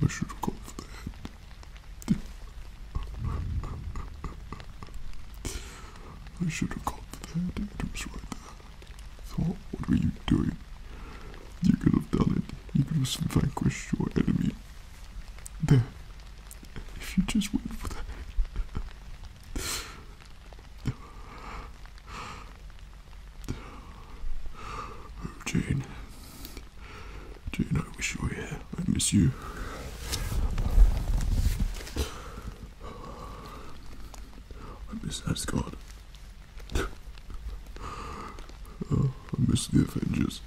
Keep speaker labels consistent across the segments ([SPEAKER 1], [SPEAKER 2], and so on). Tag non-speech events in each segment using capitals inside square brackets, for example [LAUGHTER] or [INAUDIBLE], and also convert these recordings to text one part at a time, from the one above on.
[SPEAKER 1] I should have gone for the head. I should have gone for the head. It right there. So what were you doing? You could have done it. You could have vanquished your enemy there. If you just wait for that. Oh, Jane. Jane, I wish you were here. I miss you. I miss Asgard. [LAUGHS] Oh, I miss the Avengers.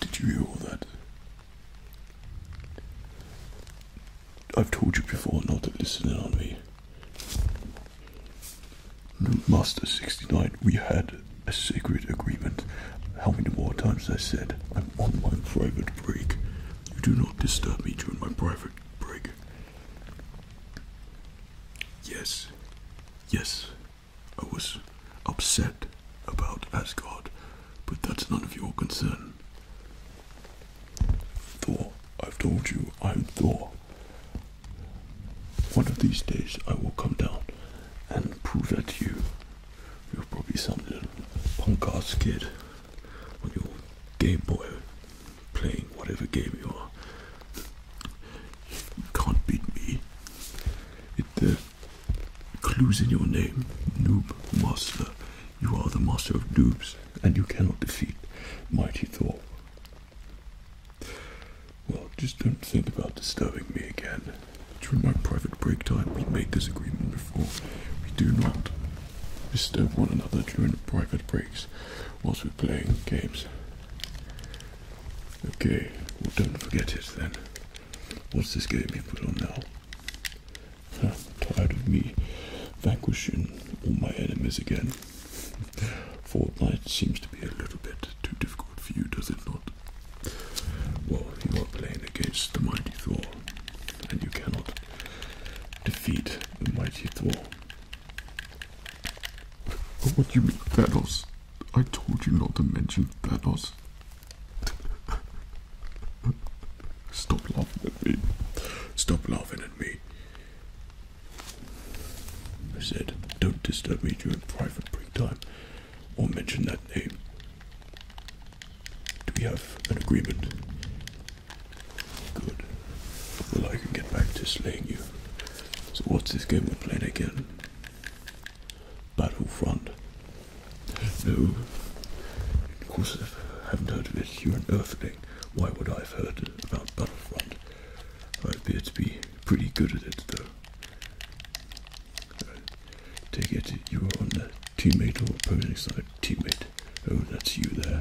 [SPEAKER 1] Did you hear that? I've told you before not to listen in on me. Master 69, we had a secret agreement. How many more times I said, I'm on my private break. You do not disturb me during my private break. Yes, yes, I was upset about Asgard, but that's none of your concern. Thor, I've told you I'm Thor. One of these days I will come down and prove that to you. You're probably some little punk ass kid on your Game Boy playing whatever game you are. You can't beat me. It the uh, clues in your name, noob master. You are the master of noobs, and you cannot defeat mighty Thor. Well, just don't think about disturbing me again. During my private break time, we made this agreement before. We do not disturb one another during private breaks whilst we're playing games. Okay, don't forget it then. What's this game you put on now? Huh, tired of me vanquishing all my enemies again. Fortnite seems to be a little bit too difficult for you, does it not? Well, you are playing against the mighty Thor, and you cannot defeat the mighty Thor. What do you mean, Thanos? I told you not to mention Thanos. Stop laughing at me. Stop laughing at me. I said, don't disturb me during private break time or mention that name. Do we have an agreement? Good. Well, I can get back to slaying you. So, what's this game we're playing again? Battlefront. No. Of course, I haven't heard of it. You're an earthling. Why would I have heard about Battlefront? I appear to be pretty good at it, though. Uh, take it you are on the teammate or opposing side. Teammate. Oh, that's you there.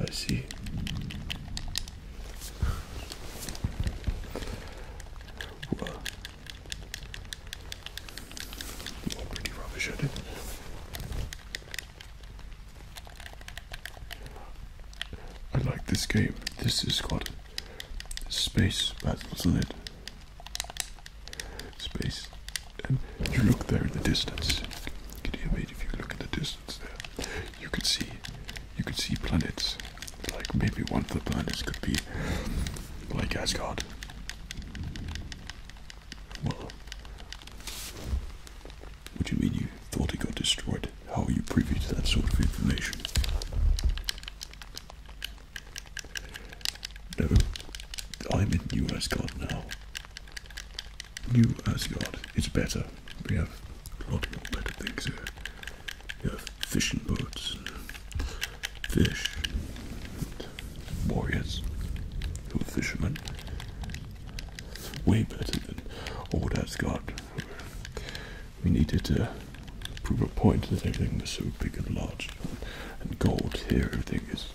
[SPEAKER 1] I see. pretty rubbish at it. I like this game. This is called Space Battles Lid. Space. And you look there in the distance. can hear me if you look in the distance there you could see you could see planets. Like maybe one of the planets could be like Asgard. Well, what you mean you thought it got destroyed? How are you privy to that sort of information? No, I'm in New Asgard now. New Asgard is better. We have a lot more better things here. You have fishing boats, fish, warriors who are fishermen. Way better than old Asgard. We needed to prove a point that everything was so big and large and gold. Here everything is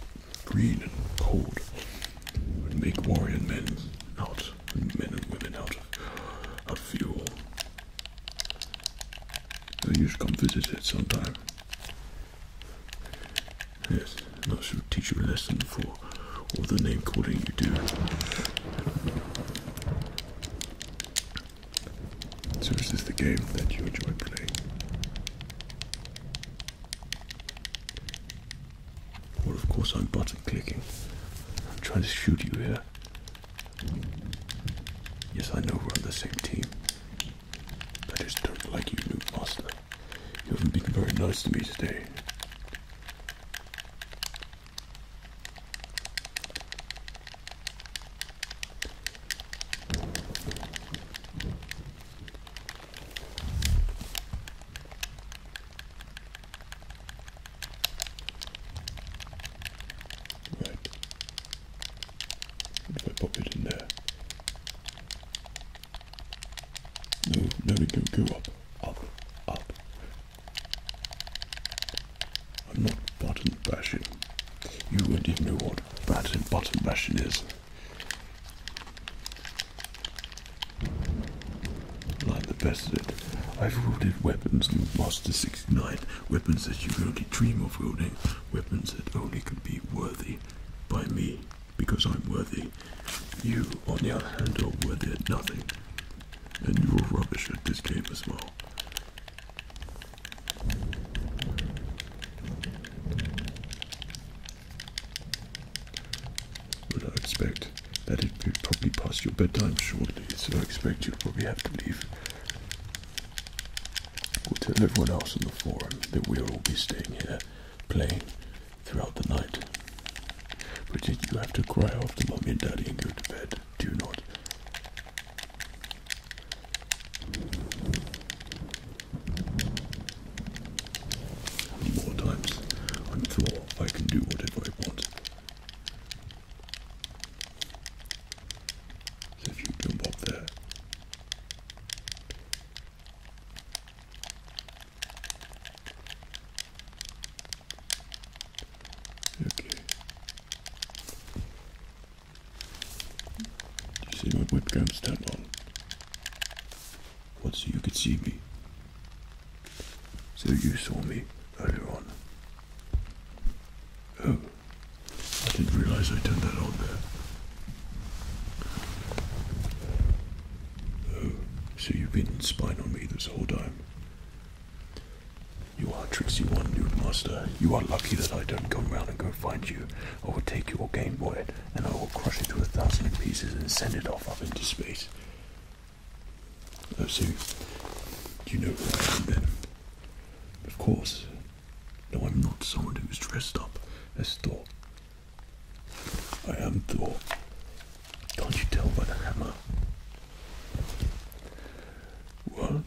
[SPEAKER 1] green and cold would make warrior men out, men and women out of, fuel. So you should come visit it sometime. Yes, and I will teach you a lesson for all the name calling you do. So this is the game that you enjoy playing? Well, of course I'm button clicking. I'm trying to shoot you here. Yes, I know we're on the same team. I just don't like you, new master. You haven't been very nice to me today. Right. What I pop it in there? No, no, go, go up, up, up. I'm not button bashing. You won't even know what button bottom bashing is. Like the best of it. I've wielded weapons you've lost Master 69, weapons that you only dream of wielding, weapons that only can be worthy by me, because I'm worthy. You, on the other hand, are worthy at nothing, and you're rubbish at this game as well. I expect that it will probably pass your bedtime shortly, so I expect you'll probably have to leave. We'll tell everyone else on the forum that we'll all be staying here playing throughout the night. But you have to cry off after mommy and daddy and go to bed. Do not more times. I'm sure I can do whatever I want. So if you jump up there. Okay. Do you see my webcam stand on? So you could see me. So you saw me earlier on. Oh, I didn't realize I turned that on there. Oh, so you've been spying on me this whole time. You are a tricksy one, dude master. You are lucky that I don't come round and go find you. I will take your Game Boy and I will crush it to a thousand pieces and send it off up into space. Oh, do you know who I am then? Of course. No, I'm not someone who's dressed up as Thor. I am Thor. Can't you tell by the hammer? Well,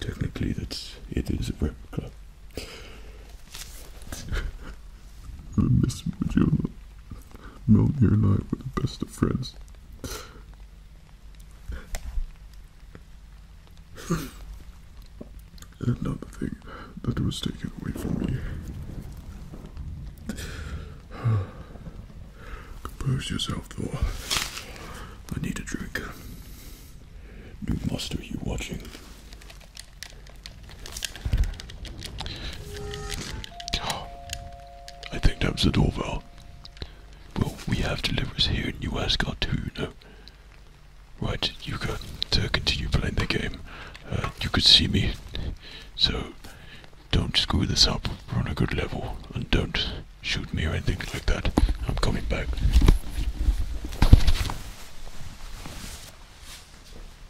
[SPEAKER 1] technically that's it is a replica. I [LAUGHS] miss my Mjolnir and I were the best of friends. Another thing that was taken away from me. Compose yourself, Thor. I need a drink. New master, you watching? I think that was the doorbell. Well, we have deliveries here in New Asgard too, no? Right, Yuka, to continue playing the game, uh, you could see me, so don't screw this up, we're on a good level, and don't shoot me or anything like that. I'm coming back.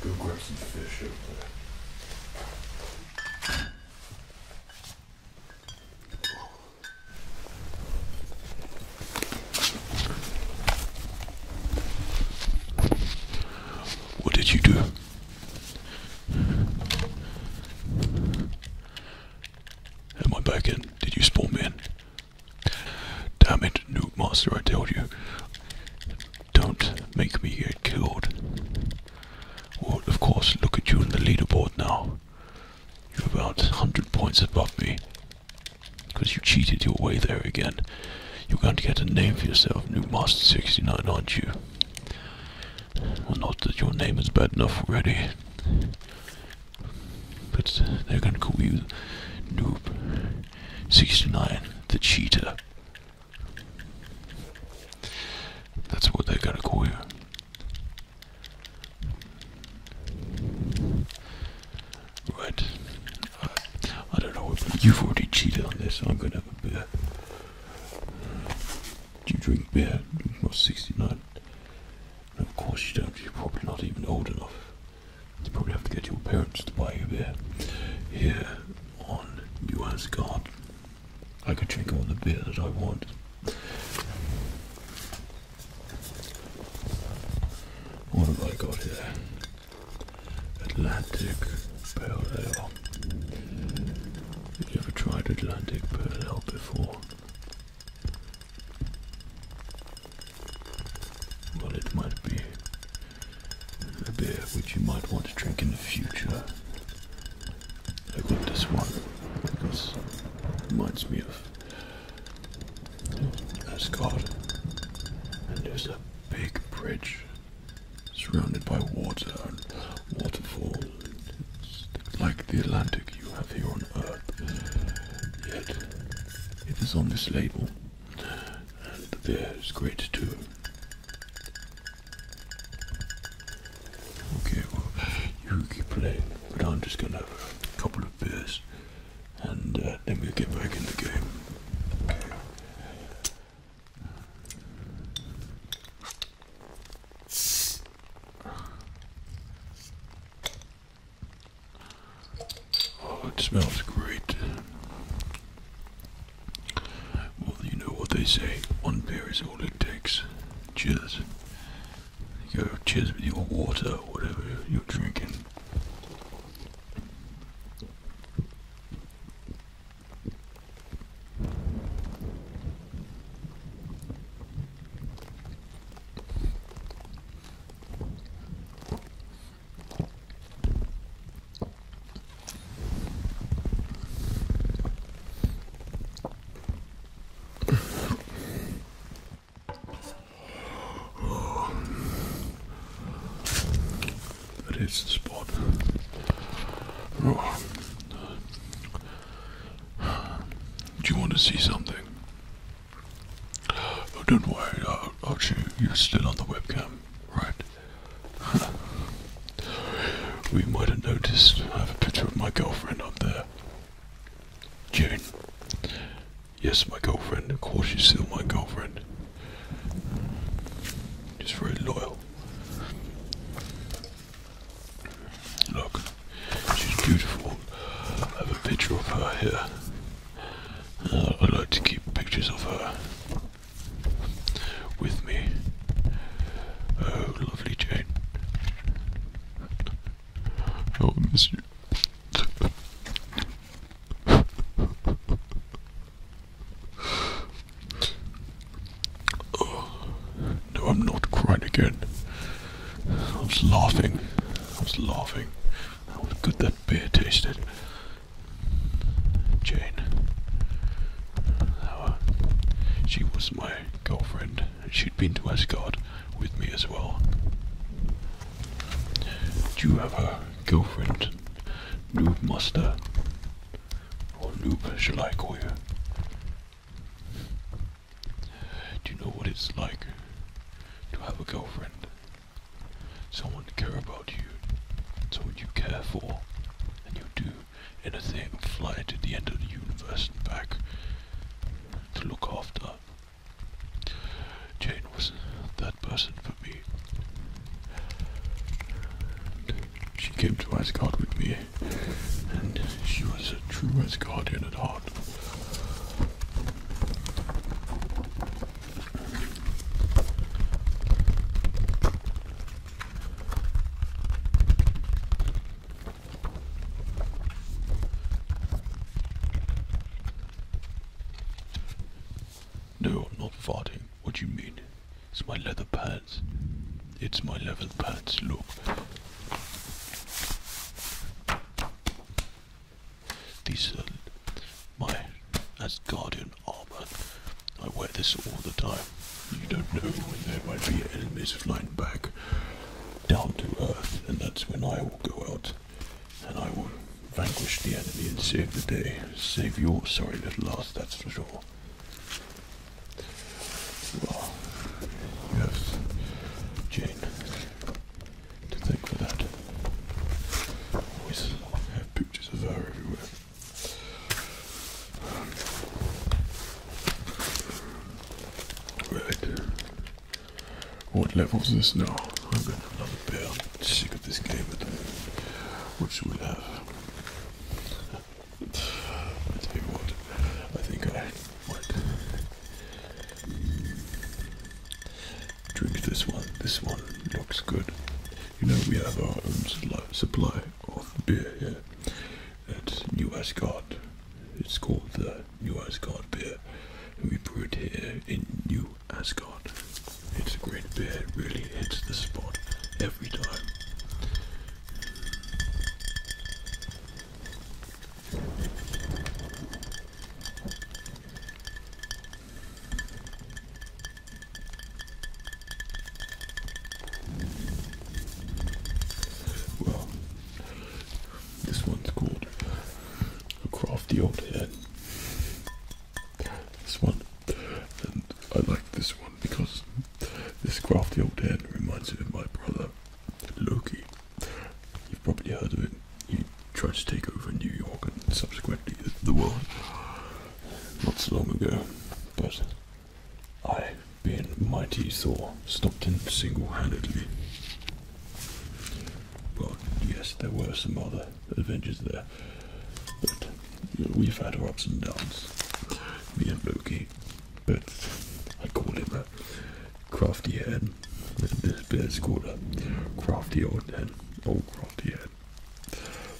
[SPEAKER 1] Go grab some fish over there. What did you do? Am I back in? Did you spawn me in? Damn it, noob master, I told you. Don't make me get killed. Well, of course, look at you in the leaderboard now. You're about 100 points above me. Because you cheated your way there again. You're going to get a name for yourself, New Master 69, aren't you? not that your name is bad enough already. But they're going to call you Noob 69, the cheater. That's what I gotta call you. Right. I don't know you've already cheated on this. I'm gonna have a beer. Do you drink beer? You're not 69. And of course you don't. You're probably not even old enough. You probably have to get your parents to buy you beer. Here you US God. I can drink all the beer that I want. What have I got here? Atlantic Pale Ale. Have you ever tried Atlantic Pale Ale before? Well, it might be a beer which you might want to drink in the future. I got this one because it reminds me of Scotland And there's a big bridge surrounded by water and waterfalls. It's like the Atlantic you have here on Earth. Yet, it is on this label. And the beer is great too. Okay, well, you keep playing, but I'm just gonna have a couple of beers and uh, then we'll get back in the game. Oh, it smells great. Well, you know what they say. One beer is all it takes. Cheers. You go cheers with your water or whatever you're drinking. That is the spot. Oh. Do you want to see something? Oh, don't worry, Archie, you're still on the webcam, right? [LAUGHS] we might have noticed I have a picture of my girlfriend up there. June. Yes, my girlfriend. Of course, she's still my girlfriend. She's very loyal. Look, she's beautiful. I have a picture of her here. Uh, I like to keep pictures of her with me. Oh, lovely Jane. Oh, I miss you. Oh, no, I'm not crying again. I was laughing. I was laughing. How good that beer tasted. Jane. she was my girlfriend, she'd been to Asgard with me as well. Do you have a girlfriend, Noob Master? Or Noob, shall I call you? Do you know what it's like to have a girlfriend? Someone to care about you, someone you care for, and you do anything, fly to the end of the universe and back to look after. Jane was that person for me. she came to Asgard with me, and she was a true Asgardian at heart. No, not farting. What do you mean? It's my leather pants. It's my leather pants, look. These are my as guardian and I wear this all the time. You don't know when there might be enemies flying back down to earth, and that's when I will go out and I will vanquish the enemy and save the day. Save your sorry little ass, that's for sure. Well, you have Jane to thank for that. Always have pictures of her everywhere. Right. What level is this now? I've got another pair. sick of this game. what should we have? I tell you what. I think I might drink this one. This one looks good. You know, we have our own supply, of beer here at New Asgard. It's called the New Asgard beer. we brew it here in New Asgard. It's a great beer. It really hits the spot every time. Well, this one's called A Crafty Old Head. This one, and I like this one because this crafty old head reminds me of my brother, Loki. You've probably heard of it. He tried to take over New York and subsequently the world not so long ago, but I, being mighty, Thor, stopped him single-handedly. Well, yes, there were some other Avengers there, but we've had our ups and downs, me and Loki. But I call him a crafty head, this bit's called a crafty old head, old crafty head.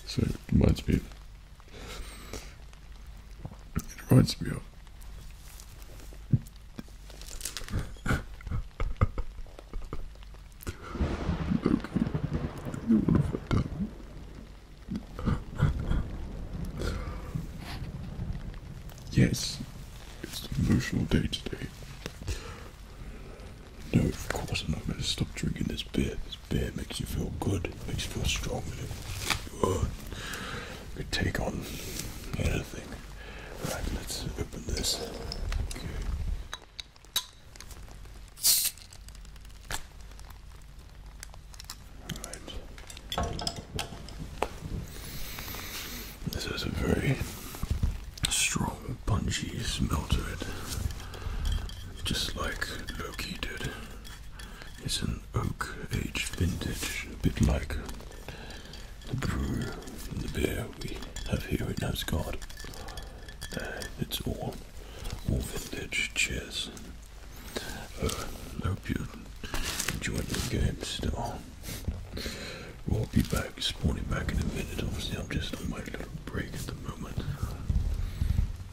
[SPEAKER 1] So it reminds me of it reminds me of Loki in the Wonderful Time. yes, it's an emotional day today. No, of course I'm not going to stop drinking this beer. This beer makes you feel good, makes you feel strong. You could take on anything. Right, let's open this. Okay. Right. This has a very strong, punchy smell to it. Just like Loki did. It's an oak aged vintage, a bit like the brew and the beer we have here in Asgard. Uh, it's all, all vintage. Cheers. Uh, hope you enjoyed the game still. We'll be back, spawning back in a minute. Obviously, I'm just on my little break at the moment.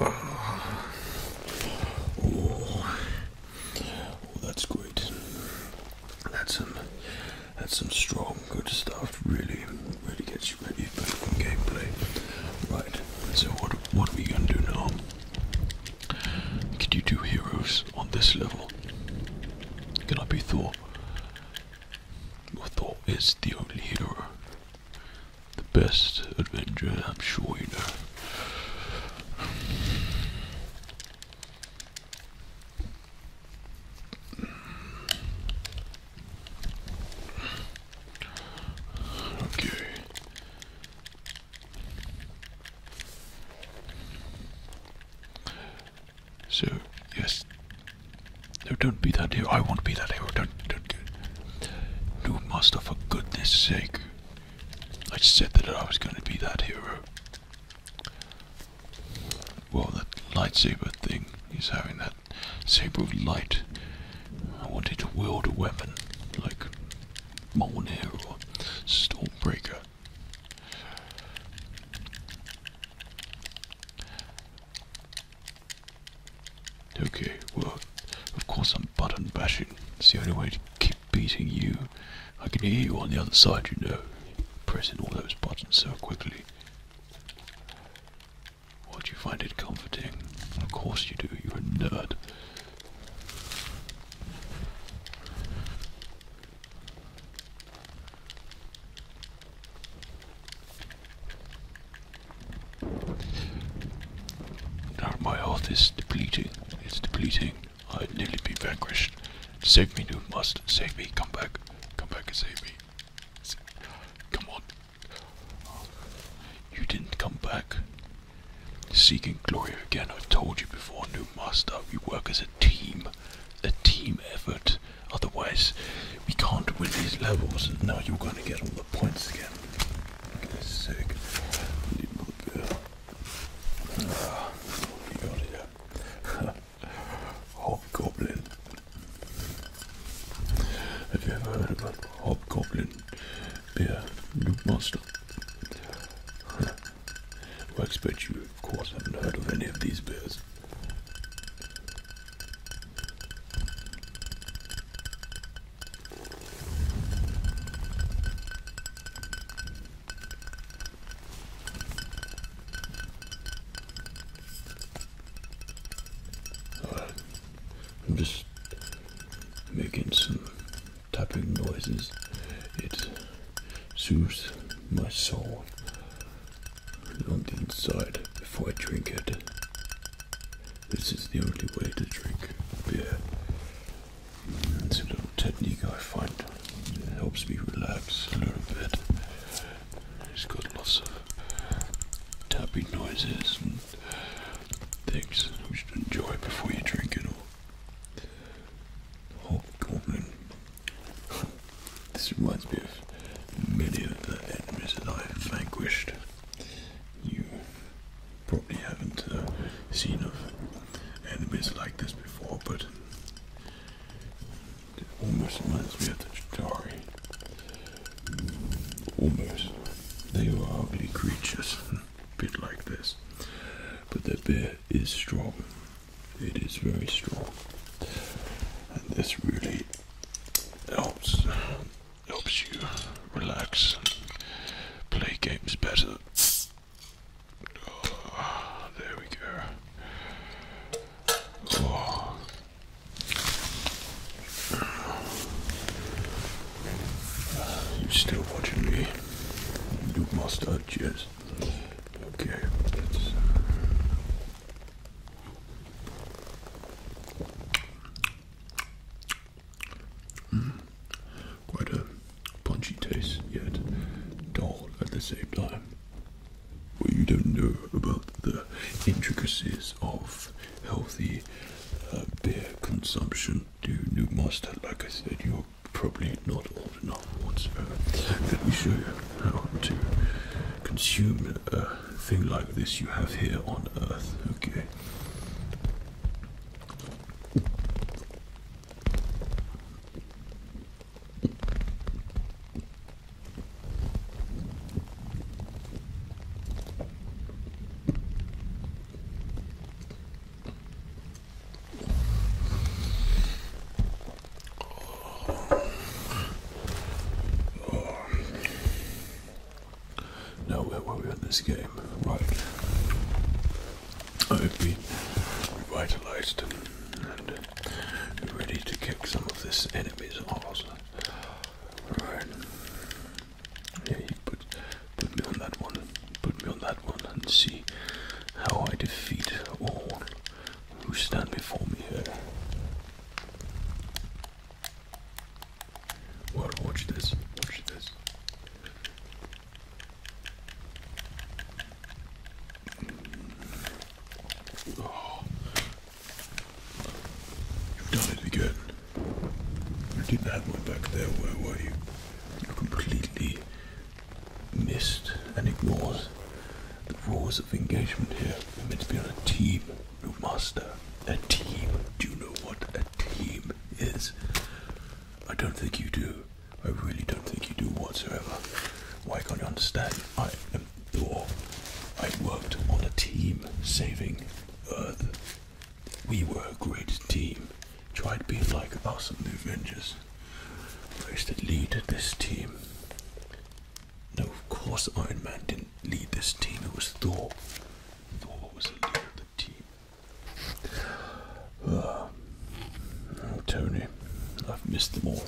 [SPEAKER 1] Oh. oh, that's great. That's some, that's some strong, good stuff. Really, really gets you ready for gameplay. Right. So what, what are we gonna do now? Can you do heroes on this level? Can I be Thor? Well, Thor is the only hero the best adventure, I'm sure you know. Okay. So, yes, no, don't be that hero. I won't be that hero. Don't, don't. No, master, for goodness sake. I said that I was going to be that hero. Well, that lightsaber thing hes having that saber of light. I wanted to wield a weapon like Molnir or Stormbreaker. Okay, well, of course I'm button bashing. It's the only way to keep beating you. I can hear you on the other side, you know, pressing all those buttons so quickly. Well, do you find it comforting? Of course you do, you're a nerd. Now my health is depleting. It's depleting. I'd nearly be vanquished. Save me, New must. Save me. Come back. Come back and save me. Come on. You didn't come back. Seeking glory again. I have told you before, new master. We work as a team. A team effort. Otherwise, we can't win these levels. Now you're going to get all the points again. Okay, sick. Need more what we got here? [LAUGHS] Hobgoblin. Have you ever heard about Hobgoblin beer? New monster. [LAUGHS] well, I expect you, of course, haven't heard of any of these beers. I'm just making some tapping noises. It soothes my soul on the inside before I drink it. This is the only way to drink beer. It's a little technique I find. It helps me relax a little bit. It's got lots of tapping noises and things we should enjoy before you drink it all. Hobgoblin. [LAUGHS] this reminds me of many of the enemies that I have vanquished. You probably haven't uh, seen of enemies like this before, but it almost reminds me of the Chitari. Almost. They are ugly creatures, [LAUGHS] a bit like this. But the bear is strong. It is very strong. And this really helps helps you relax play games better. Ah, there we go. Oh. Uh, still watching me? You must have, yes. Okay, Mm. Quite a punchy taste, yet dull at the same time. Well, you don't know about the intricacies of healthy uh, beer consumption, dude. You must, like I said, you're probably not old enough whatsoever. Let me show you how to consume. Uh, thing like this you have here on Earth. Okay. Now we're we in this game? Right. I have been revitalized and ready to kick some of this enemy's ass. Right. Yeah, you put, put me on that one, put me on that one and see how I defeat all who stand before me here watch this. Watch this. You've done it again. You did that one back there where were you? You completely missed and ignored the rules of engagement here. We're meant to be on a team, Rootmaster. A team. Do you know what team is. I don't think you do. I really don't think you do whatsoever. Why can't you understand? I am Thor. I worked on a team saving Earth. We were a great team. Tried being like awesome the Avengers. I used to lead this team. No, of course Iron Man didn't lead this team. It was Thor. Thor was the leader. Oh, Tony, I've missed them all.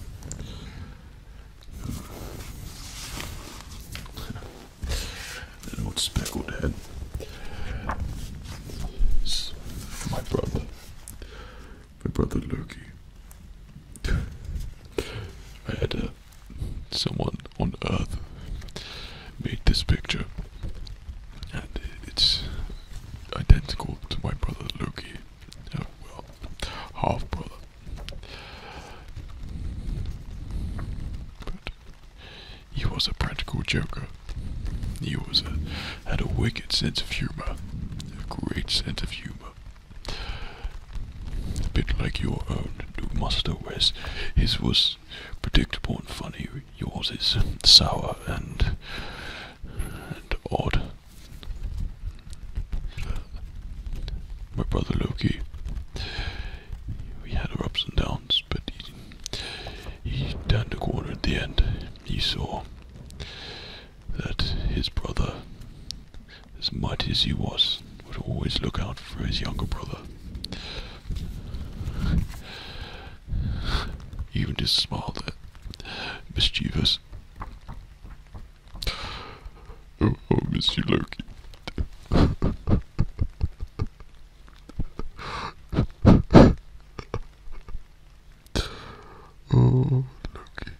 [SPEAKER 1] An old speckled head. my brother. My brother Loki. I had a someone on Earth made this picture, and it's identical to my brother Loki, uh, half brother. But he was a practical joker. He was a, had a wicked sense of humor, a great sense of humor. A bit like your own, do Master West. His was predictable and funny. Yours is sour and and odd. My brother Loki. We had our ups and downs, but he, he turned a corner at the end. He saw that his brother, as mighty as he was, would always look out for his younger brother. Even just smiled at mischievous. Oh, Missy oh, miss Loki. [LAUGHS] oh, Loki.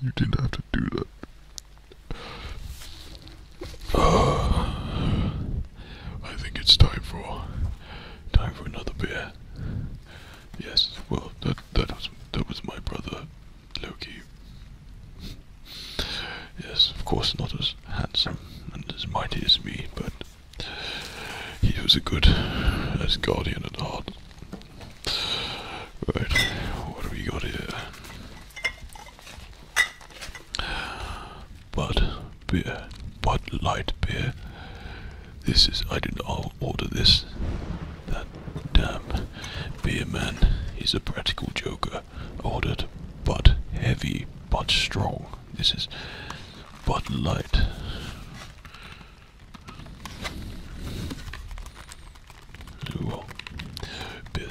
[SPEAKER 1] You didn't have to do that. I think it's time for time for another beer. Yes, well, that that was that was my brother, Loki. Yes, of course, not as handsome and as mighty as me, but he was a good as guardian at heart. Right, what have we got here? But beer, but light beer. This is I did not order this. That damn beer man He's a practical joker. Ordered but heavy, but strong. This is but light. Well, beer.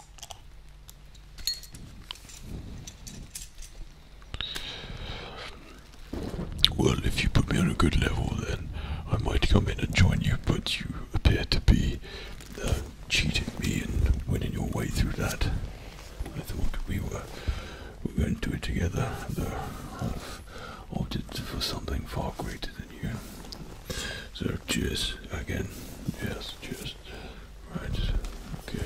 [SPEAKER 1] Well, if you put me on a good level, then I might come in and join you, but you appear to be uh, cheating me and winning your way through that. I thought we were, we were going to do it together, though I've opted for something far greater than you. So, cheers again. Yes, cheers. Right, okay.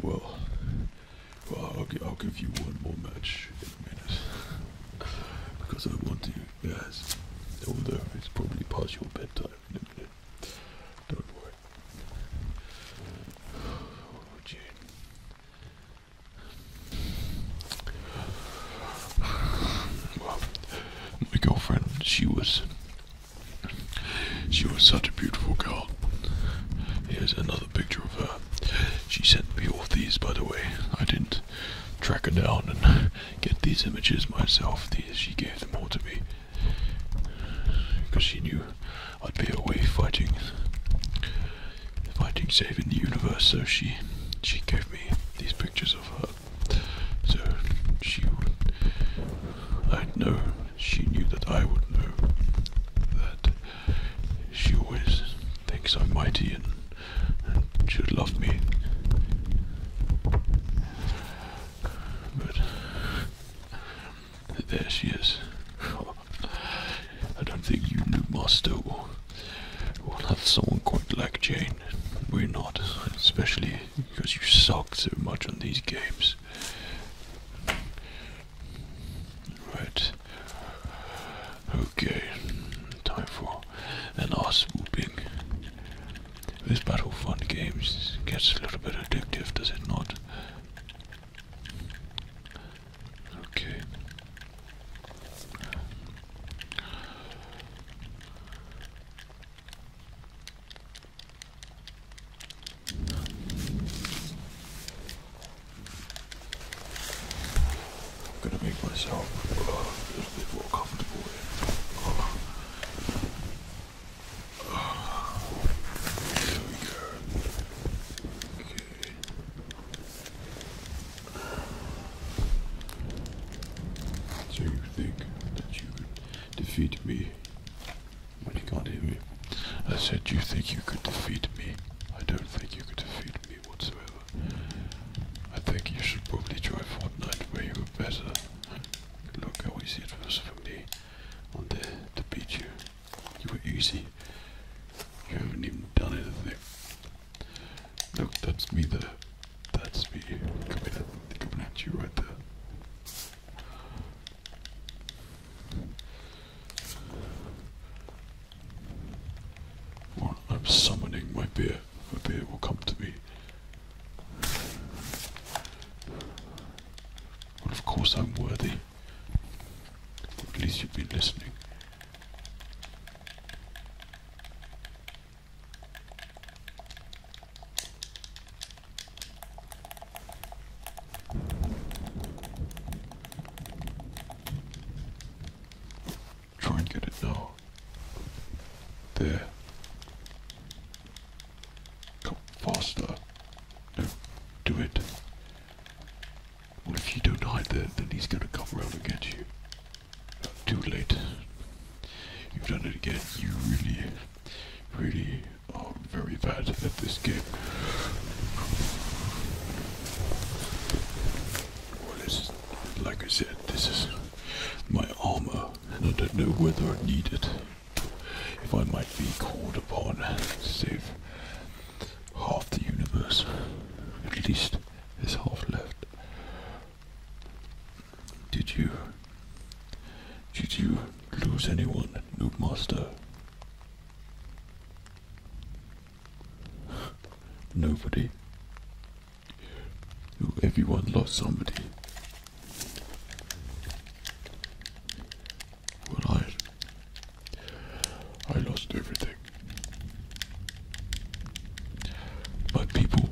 [SPEAKER 1] Well, well, I'll, give you one more match in a minute. Because I want you, to, yes. Although it's probably past your bedtime in a minute. Don't worry. Oh, [SIGHS] my girlfriend, she was. She was such a beautiful girl. Here's another picture of her. She sent me all these, by the way. I didn't track her down and [LAUGHS] get these images myself. These she gave them all to me because she knew I'd be away fighting fighting saving the universe. So she she gave me these pictures of her. So she would I'd know she knew that I would know that she always thinks I'm mighty and, and should love me. But there she is. I don't think you knew Master. We'll have someone quite like Jane. We're not, especially because you suck so much on these games. Right. Okay. Time for an ass whooping. This battle fun games gets a little bit addictive, does it not? Okay. I'm gonna make myself uh, a little bit more comfortable here. there uh, uh, we go. So you think that you could defeat me? Well, you can't me. I said you think you could defeat me. I don't think you could defeat me whatsoever. I think you should probably try Fortnite where you are better. Look how easy it was for me on there to beat you. You were easy. You haven't even done anything. Look, that's me there. That's me coming at, coming at you right there. I'm summoning my beer. My beer will come to me. of course I'm worthy. At least you've been listening. Try and get it now. Oh, there. Come faster. No, do it. Well, if you don't hide there, then he's gonna come round and get you. too late. You've done it again. You really, really are very bad at this game. Well, this is, like I said, this is my armor, and I don't know whether I need it. If I might be called upon to save half the universe, at least is half left. Did you did you lose anyone, noob Nobody. Everyone lost somebody. Well, I, I lost everything. But people,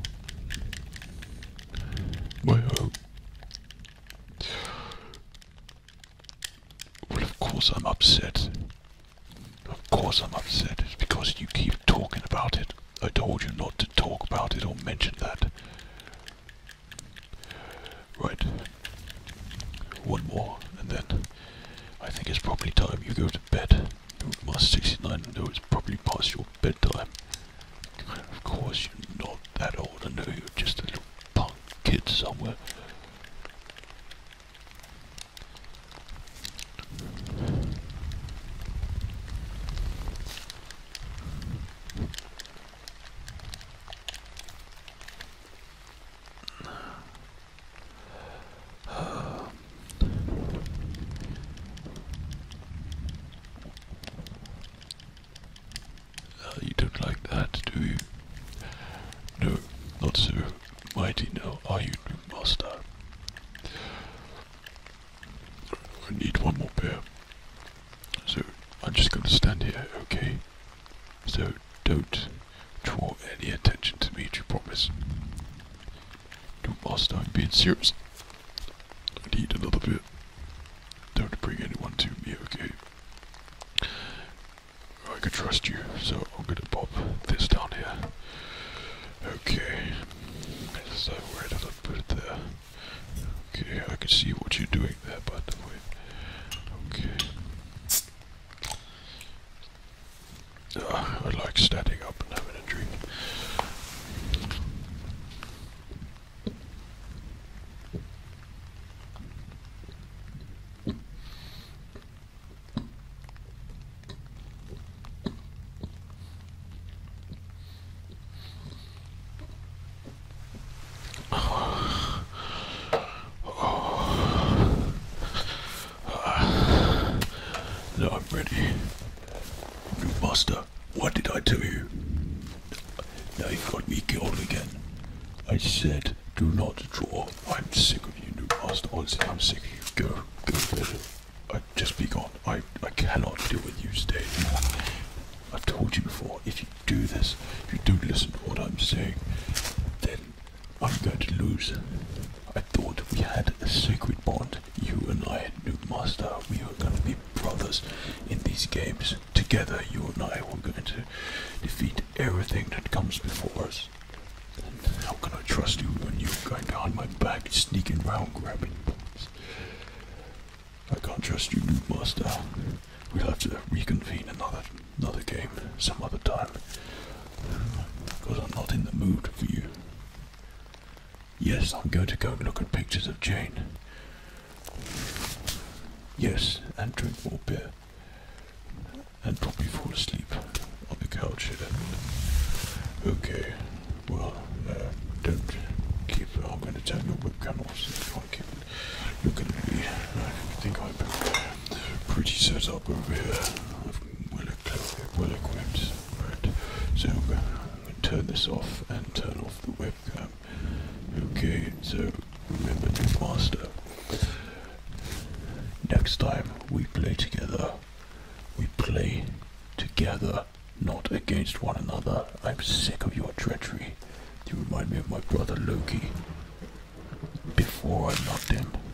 [SPEAKER 1] my home. Well, of course I'm upset. Of course I'm upset. It's because you keep talking about it. I told you not to talk about it or mention that. Right. One more, and then I think it's probably time you go to bed. Master 69, I know it's probably past your bedtime. Of course, you're not that old. I know you're just a little punk kid somewhere you don't like that, do you? No, not so mighty now, are you, master? I need one more pair. So I'm just going to stand here, okay? So don't draw any attention to me, do you promise? Don't master, I'm being serious. I need little bit. Don't bring anyone to me, okay? I can trust you, so I'm gonna pop this down here. Okay, so where did I put it there? Okay, I can see what you're doing there, by the way. Okay. Ugh, I like standing up and having a drink. [SIGHS] Oh. Uh, [SIGHS] now I'm ready. New master, what did I tell you? Now you have got me killed again. I said, do not draw. I'm sick of you, new master. Honestly, I'm sick of you. Go, go to I, just be I, I cannot deal with you. Stay I've told you before, if you do this, if you don't listen to what I'm saying, then i am going to lose. I thought we had a sacred bond. You and I, new master, we were going to be brothers in these games. Together, you and I were going to defeat everything that comes before us. how can I trust you when you're going behind my back, sneaking round, grabbing points? I can't trust you, new master. We'll have to reconvene another another game some other time. Because I'm not in the mood for you. Yes, I'm going to go and look at pictures of Jane. Yes, and drink more beer. And probably fall asleep on the couch here. Okay, well, uh, don't keep it. I'm going to turn your webcam off so you can't keep looking at me. I think I'm have pretty set up over here well equipped. Right, so I'm gonna, turn this off and turn off the webcam. Okay, so remember the master. Next time we play together, we play together, not against one another. I'm sick of your treachery. You remind me of my brother Loki. Before I knocked him.